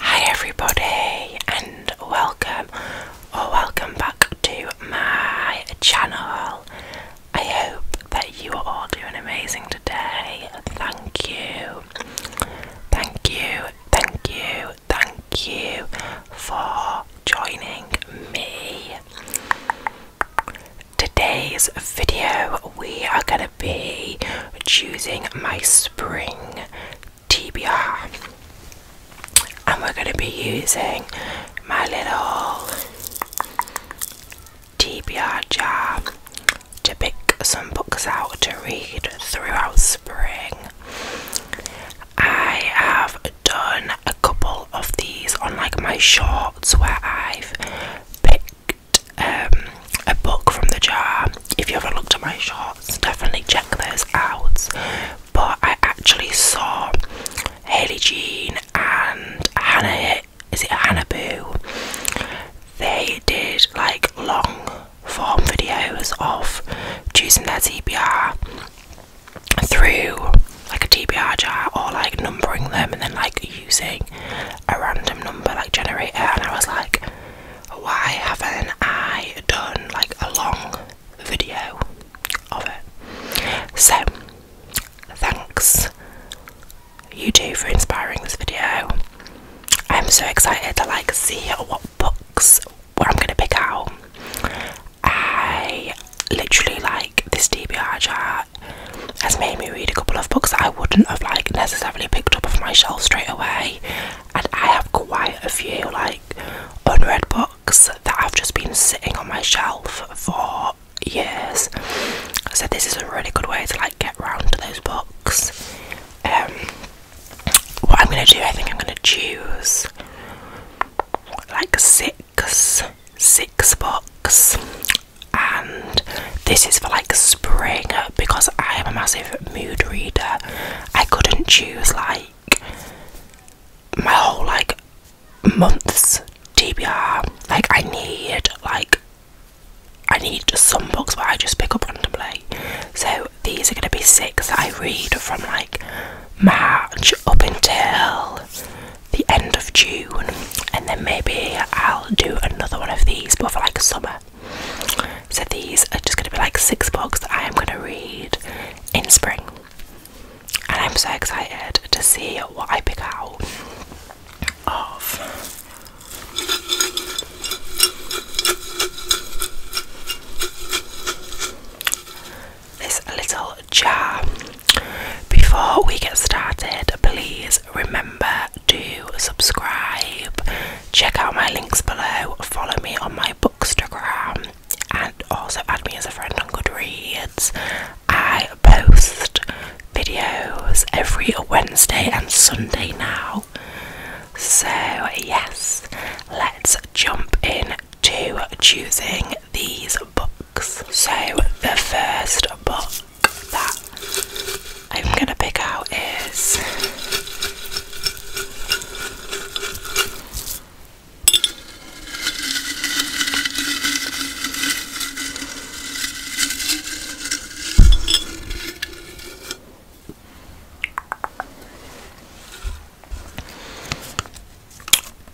Hi everybody and welcome or welcome back to my channel. I hope that you are all doing amazing today. Thank you. Thank you. Thank you. Thank you for joining me. Today's video we are going to be choosing my spring TBR and we're going to be using my little TBR jar to pick some books out to read throughout spring. I have done a couple of these on like my shorts where I've picked um, a book from the jar. If you ever looked at my shots, definitely check those out. But I actually saw Haley Jean and Hannah. Is it Hannah Boo? They did like long form videos of choosing their TBR through like a TBR jar or like numbering them and then like using a random number like generator. And I was like, why haven't I done like a long video of it? So, thanks you two for inspiring this video. I'm so excited to like see what books what I'm gonna pick out. I literally like this DBR chart has made me read a couple of books that I wouldn't have like necessarily picked up off my shelf straight away and I have quite a few like unread books that I've just been sitting on my shelf for years. So this is a really good way to like get round to those books. Um, what I'm gonna do, I think I'm gonna choose like six, six books, and this is for like spring because I am a massive mood reader. I couldn't choose like my whole like month's TBR. Like I need like I need some books where I just pick up randomly. So these are gonna be six that I read from like March up until the end of June and then maybe I'll do another one of these but for like summer so these are just going to be like six books I am going to read in spring. And I'm so excited to see what I pick out of. This little jar. Before we get started, please remember to subscribe, check out my links below, follow me on my bookstagram, and also add me as a friend on Goodreads. I post videos every Wednesday and Sunday now. So, yes, let's jump in to choosing these books. So, the first book that I'm gonna pick out is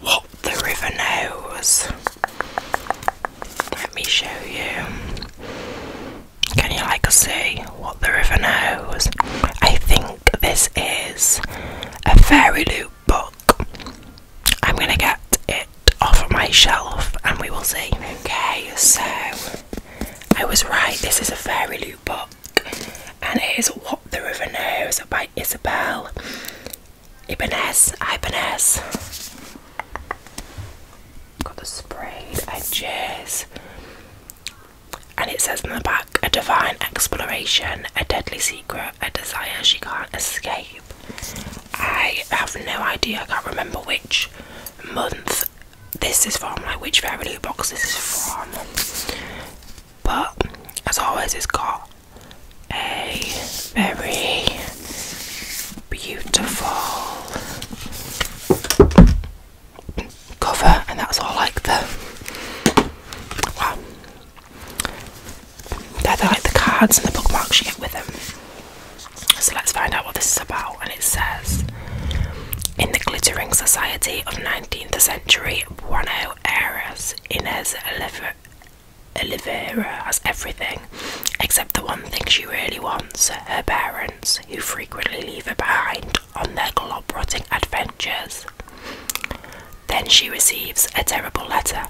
what the river knows. Let me show you. Can you like see what the river knows? I think this is a Fairy Loop book. I'm gonna get it off my shelf and we will see. Okay, so I was right, this is a Fairy Loop book and it is What the River Knows by Isabel Ibanez Ibanez. Got the sprayed edges. And it says in the back, a divine exploration, a deadly secret, a desire she can't escape. I have no idea, I can't remember which month this is from, like which Fairyloo box this is from. But as always, it's got a very beautiful cover, and that's all like the wow. They're, like the cards and the bookmarks you get with them. So let's find out what this is about. And it says, in the glittering society of 19th century Buenos Aires, Inez Oliveira has everything except the one thing she really wants her parents, who frequently leave her behind on their glob rotting adventures. Then she receives a terrible letter.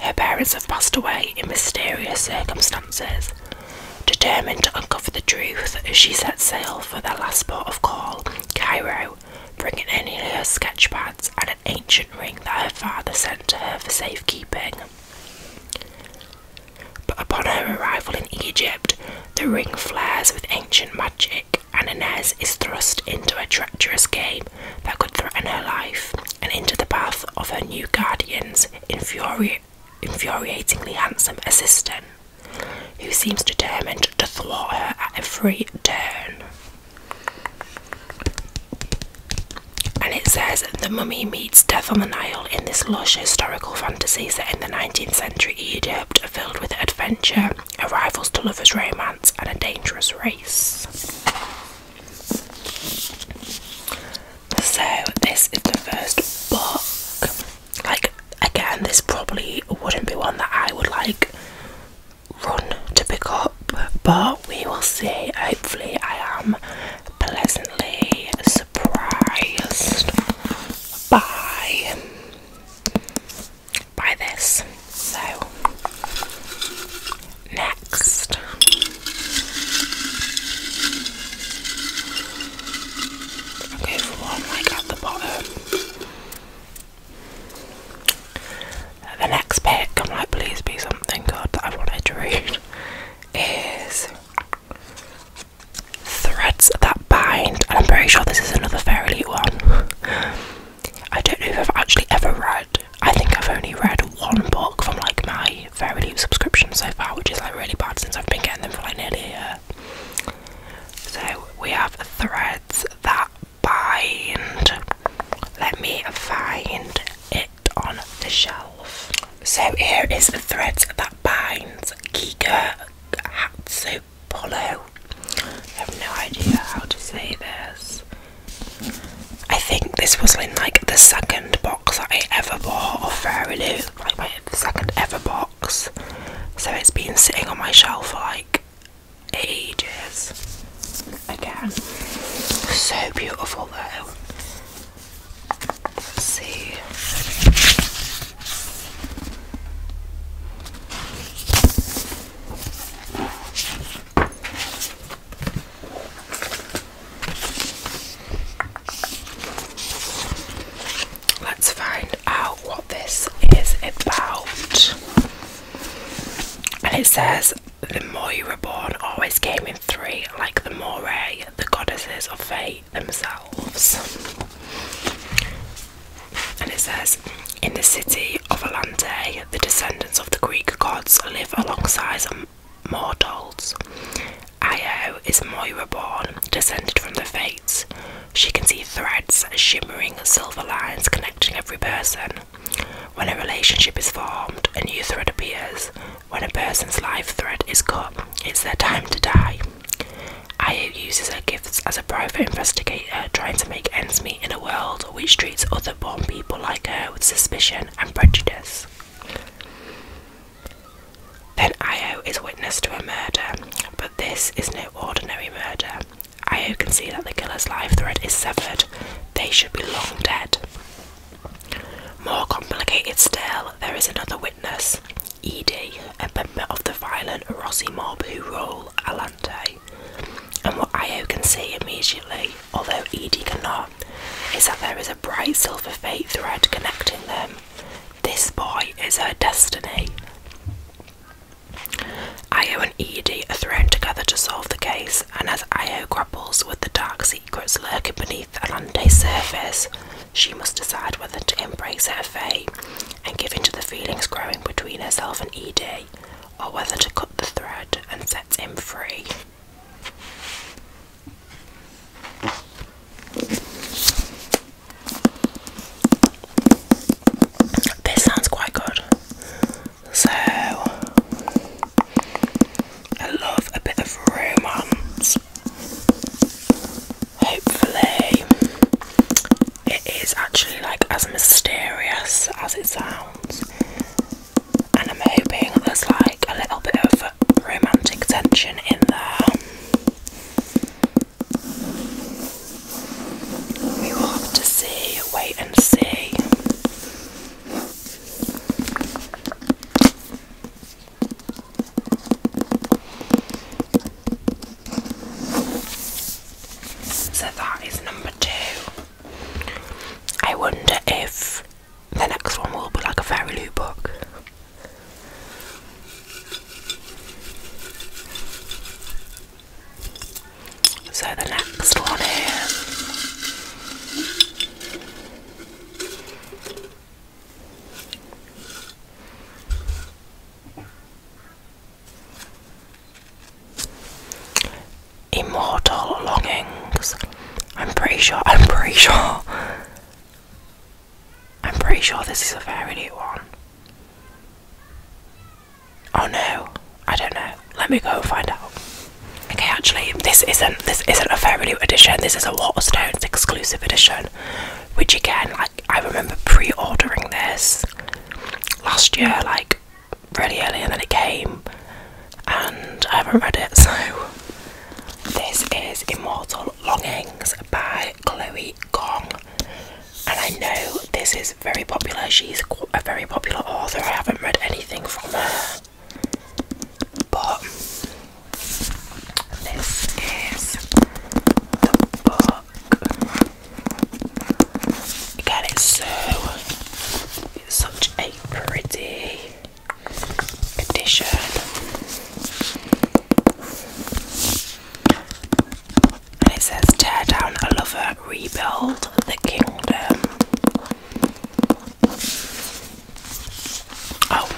Her parents have passed away in mysterious circumstances. Determined to uncover the truth, she sets sail for their last port of call, Cairo, bringing only her sketchpads and an ancient ring that her father sent to her for safekeeping. But upon her arrival in Egypt, the ring flares with ancient magic, and Inez is thrust into a treacherous game that could threaten her life and into the path of her new guardian's infuriatingly handsome assistant, who seems determined to thwart her at every turn. And it says the mummy meets death on the Nile in this lush historical fantasy set in the 19th century Egypt, filled with adventure, arrivals to lovers' romance, and a dangerous race. So this is the first book. Like again, this probably wouldn't be one that I would like run to pick up, but we will see. Hopefully, I am pleasantly surprised by by this. So next i for one like at the bottom. The next pick, I might please be something good that I wanted to read is Threads That Bind, and I'm very sure this is another Fairyly one. I don't know if I've actually ever read. I think I've only read one book from like my Fairyly subscription so far, which is like really bad since I've been getting them for like nearly a year. So we have Threads That Bind. Let me find it on the shelf. So here is the thread that binds Giga Hatsupolo. I have no idea how to say this. I think this was in like the second box I ever bought of Fairy Fairyloo, like my second ever box. So it's been sitting on my shelf for like ages again. So beautiful though. Let's see. Let's find out what this is about. And it says the more were born always came in three, like the morae, the goddesses of fate themselves. And it says, in the city of Alante, the descendants of the Greek gods live alongside mortals. Io is Moira born, descended from the Fates. She can see threads, shimmering silver lines connecting every person. When a relationship is formed, a new thread appears. When a person's life thread is cut, it's their time to die. Io uses her gifts as a private investigator trying to make ends meet in a world which treats other born people like her with suspicion and prejudice. Then Io is witness to a murder, but this is no ordinary murder. Io can see that the killer's life thread is severed. They should be long dead. More complicated still, there is another witness, Edie, a member of the violent Rossi mob who rule Alante. And what Iyo can see immediately, although Edie cannot, is that there is a bright silver fate thread connecting them. This boy is her destiny. Iyo and Edie are thrown together to solve the case, and as Io grapples with the dark secrets lurking beneath an Alante's surface, she must decide whether to embrace her fate and give in to the feelings growing between herself and Edie, or whether to cut the thread and set him free. This sounds quite good. So I love a bit of romance. Hopefully, it is actually like as mysterious as it sounds, and I'm hoping there's like a little bit of romantic tension in there. We will have to see, wait and see. So that is number two. I wonder if the next one will be like a fairy book. So the next one is Immortal Longings. I'm pretty sure, I'm pretty sure. I'm pretty sure this is a very new one. Oh no, I don't know. Let me go find out. Okay, actually, this isn't this isn't a Fairly New edition. This is a Waterstones exclusive edition, which again, like I remember pre-ordering this last year, like really early, and then it came, and I haven't read it. So this is Immortal Longings by Chloe Gong, and I know this is very popular. She's a very popular author. I haven't read anything from her. But this is the book. it's so such a pretty edition. And it says tear down a lover, rebuild the kingdom. Oh,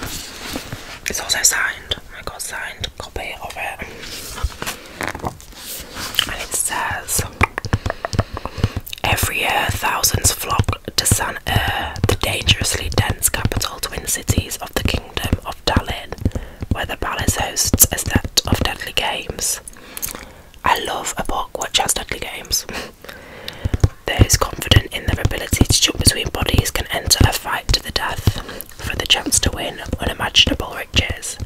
it's also signed. I got signed copy of it, and it says, "Every year, thousands flock to San Er, the dangerously dense capital twin cities of the Kingdom of Dalin, where the palace hosts a set of deadly games." I love a book which has deadly games. Those confident in their ability to jump between bodies can enter a fight to the death for the chance to win unimaginable riches.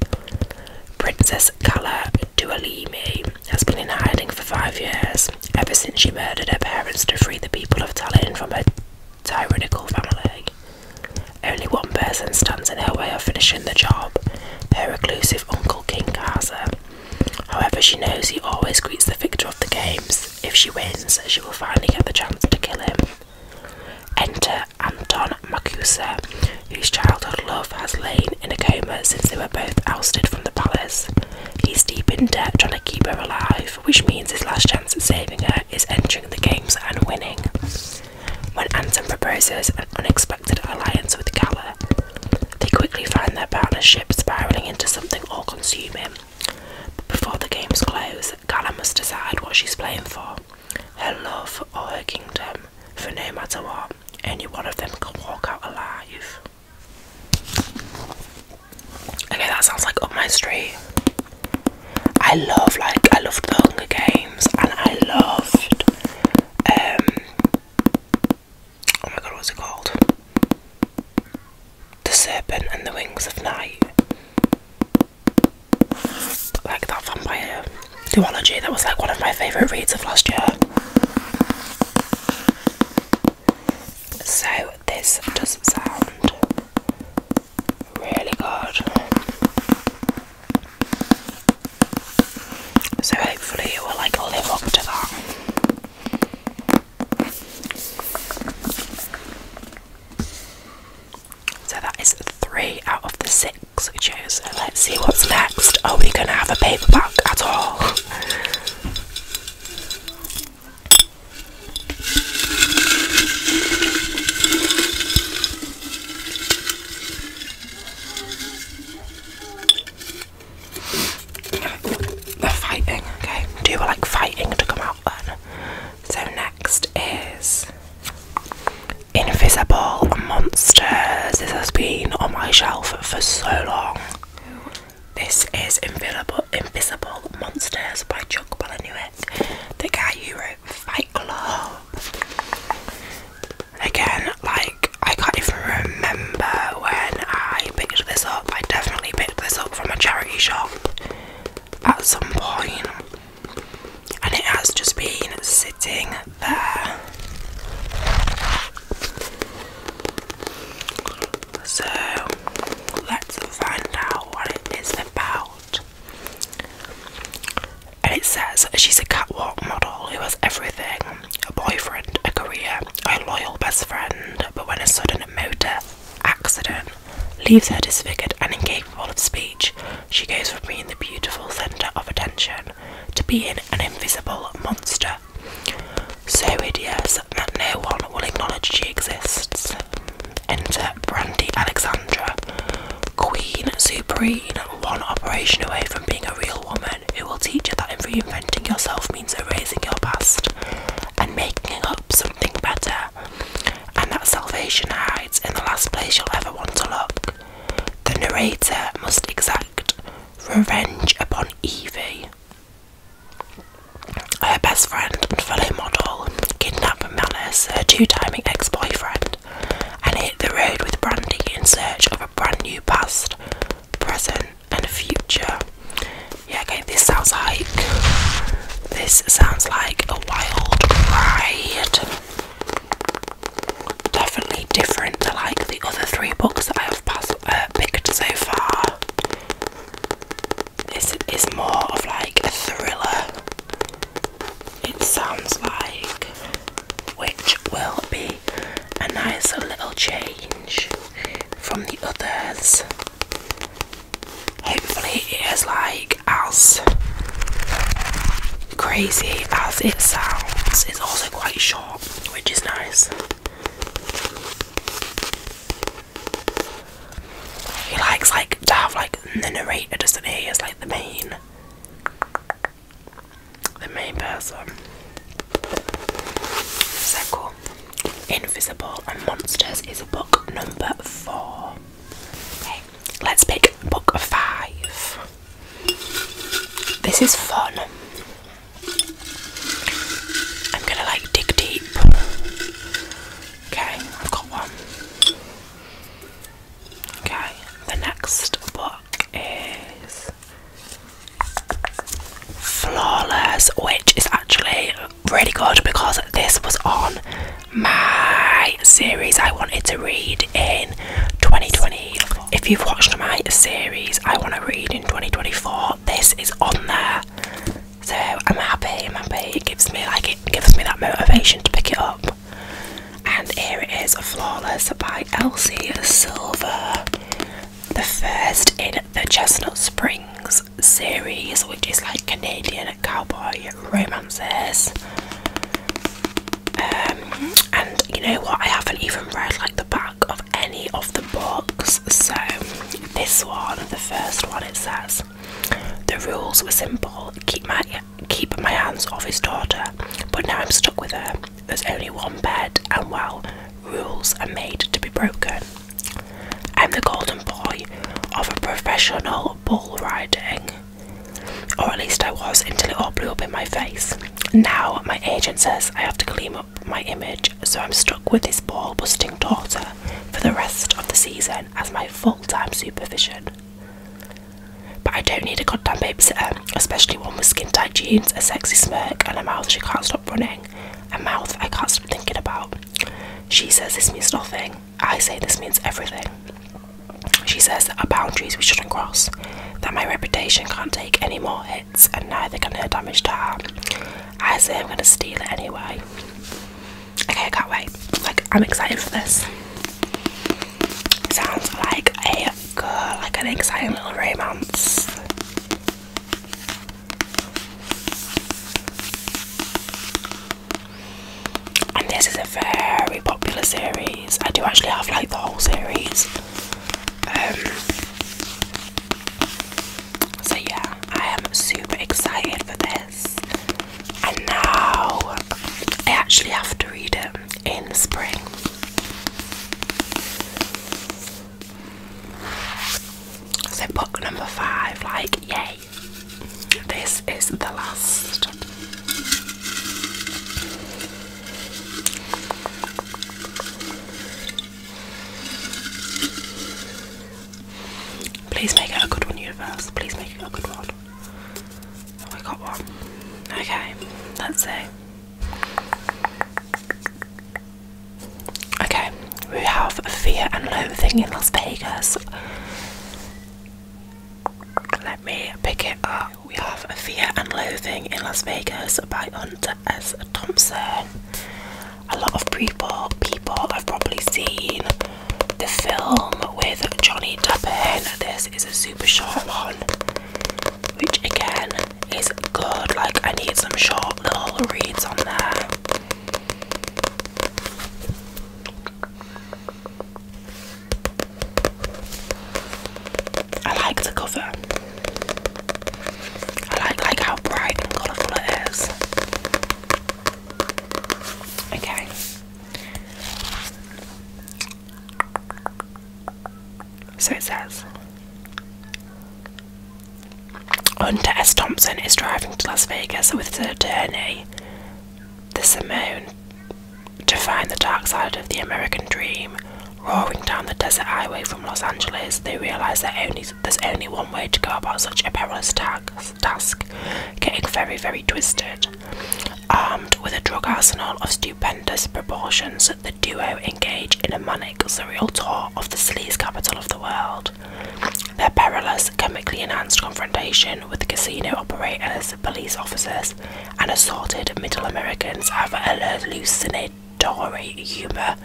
Princess Kala Dualimi has been in hiding for five years, ever since she murdered her parents to free the people of Tallinn from her tyrannical family. Only one person stands in her way of finishing the job, her reclusive uncle King Arthur. However, she knows he always greets the victor of the games. If she wins, she will finally get the chance to kill him. Enter Anton Makusa, whose childhood love has lain in a coma since they were both ousted from the palace. He's deep in debt trying to keep her alive, which means his last chance at saving her is entering the games and winning. When Anton proposes an unexpected alliance with Gala. They quickly find their partnership spiraling into something all consuming. But before the games close, Gala must decide what she's playing for her love or her kingdom, for no matter what, any one of them can walk out alive. Okay, that sounds like up my street. I love, like, I loved the Hunger Games and I loved um, oh my god what's it called the serpent and the wings of night like that vampire duology that was like one of my favourite reads of last year so this does not sound really good so hopefully it will like live up to that. So that is three out of the six we chose. let's see what's next. Are we gonna have a paperback at all? They're fighting, okay? Two were like fighting to come out then. So next is Invisible Monsters. This has been on my shelf for so long. This is Invisible Invisible Monsters by Chuck Palahniuk. The guy who Fight again, like I can't even remember when I picked this up. I definitely picked this up from a charity shop at some point, and it has just been sitting there. So let's find out what it is about and it says she's a catwalk model who has everything a boyfriend, a career, a loyal best friend, but when a sudden motor accident leaves her disfigured and incapable of speech, she goes from being the beautiful centre of attention to being an invisible monster. So hideous that no one will acknowledge she exists. Enter Brandy Alexandra, Queen Supreme, one operation away from being a real woman who will teach you that reinventing yourself means erasing your past and making up something better, and that salvation hides in the last place you'll ever want to look. The narrator must exact revenge upon Evie. Her best friend and fellow model, kidnapped Malice, her two timing ex boyfriend, and hit the road with Brandy in search of a brand new past, present, and future. Yeah, okay, this sounds like this sounds like a wild ride. Definitely different to like the other three books that I have uh, picked so far. This is more of like a thriller it sounds like, which will be a nice little change from the others. Hopefully, it is like as crazy as it sounds. It's also quite short, which is nice. He likes like to have like the narrator, doesn't he? As like the main the main person. So Invisible and Monsters is book number four. Okay, let's pick book five. This is fun. I'm gonna like dig deep. Okay, I've got one. Okay, the next book is Flawless, which is actually really good because this was on my series I wanted to read in 2020. If you've watched my series I want to read in 2024, this is on there. So I'm happy, happy. It gives me like it gives me that motivation to pick it up. And here it is, Flawless by Elsie Silver, the first in the Chestnut Springs series, which is like Canadian cowboy romances. Um, and you know what? I haven't even read like the back of any of the books, so this one, the first one, it says. The rules were simple keep my keep my hands off his daughter, but now I'm stuck with her. There's only one bed, and well, rules are made to be broken. I'm the golden boy of a professional bull riding, or at least I was until it all blew up in my face. Now my agent says I have to clean up my image, so I'm stuck with this ball busting daughter for the rest of the season as my full time supervision. But I don't need a goddamn babysitter, especially one with skin tight jeans, a sexy smirk, and a mouth she can't stop running. A mouth I can't stop thinking about. She says this means nothing. I say this means everything. She says there are boundaries we shouldn't cross, that my reputation can't take any more hits, and neither can her damaged to I say I'm gonna steal it anyway. Okay, I can't wait. Like I'm excited for this. Sounds like a good, like an exciting little romance. And this is a very popular series. I do actually have like the whole series. Um, so yeah, I am super excited for this. And now I actually have to read it in the spring. So, book number five, like, yay! This is the last. Please make it a good one, universe. Please make it a good one. Oh, got one. Okay, let's see. Okay, we have fear and loathing in Las Vegas. Let me pick it up. We have Fear and Loathing in Las Vegas by Hunter S. Thompson. A lot of people people I've probably seen the film with Johnny Depp This is a super short one, which again is good. Like, I need some short little reads on there. I like the cover. I like like how bright and colourful it is. Okay. So it says Hunter S. Thompson is driving to Las Vegas with his attorney, the Simone, to find the dark side of the American dream. Roaring down the desert highway from Los Angeles, they realize that only, there's only one way to go about such a perilous task task, getting very, very twisted. Armed with a drug arsenal of stupendous proportions, the duo engage in a manic, surreal tour of the city's capital of the world. Their perilous, chemically enhanced confrontation with casino operators, police officers, and assorted Middle Americans have a hallucinatory humor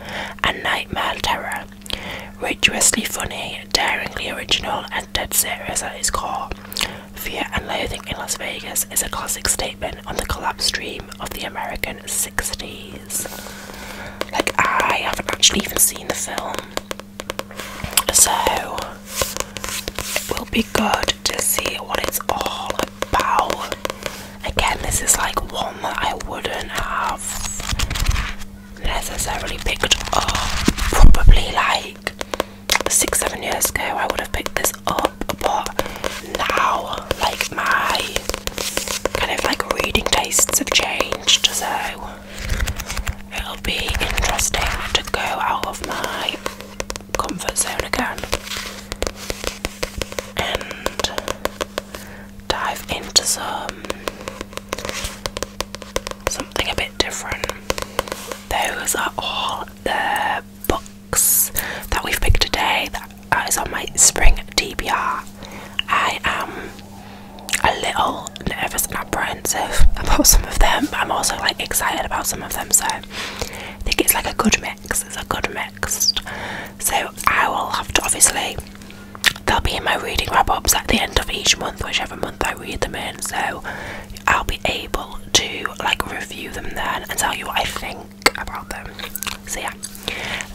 and nightmare terror. Rigorously funny, daringly original, and dead serious at its core, Fear and Loathing in Las Vegas is a classic statement on the collapse dream of the American 60s. Like, I haven't actually even seen the film, so it will be good to see what it's all about. Again, this is like one that I wouldn't have necessarily picked up. Probably like six, seven years ago, I would have picked this up, but now, like, my kind of like reading tastes have changed, so it'll be interesting to go out of my comfort zone again dive into some something a bit different. Those are all the books that we've picked today. That is on my spring DBR. I am a little nervous and apprehensive about some of them, but I'm also like excited about some of them. So I think it's like a good mix. It's a good mix. So I will have to obviously they'll be in my reading wrap ups at the end of each month, whichever month I read them in. So I'll be able to like review them then and tell you what I think about them. So yeah,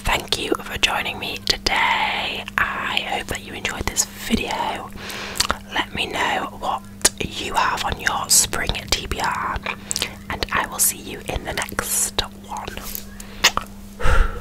thank you for joining me today. I hope that you enjoyed this video. Let me know what you have on your spring TBR, and I will see you in the next one.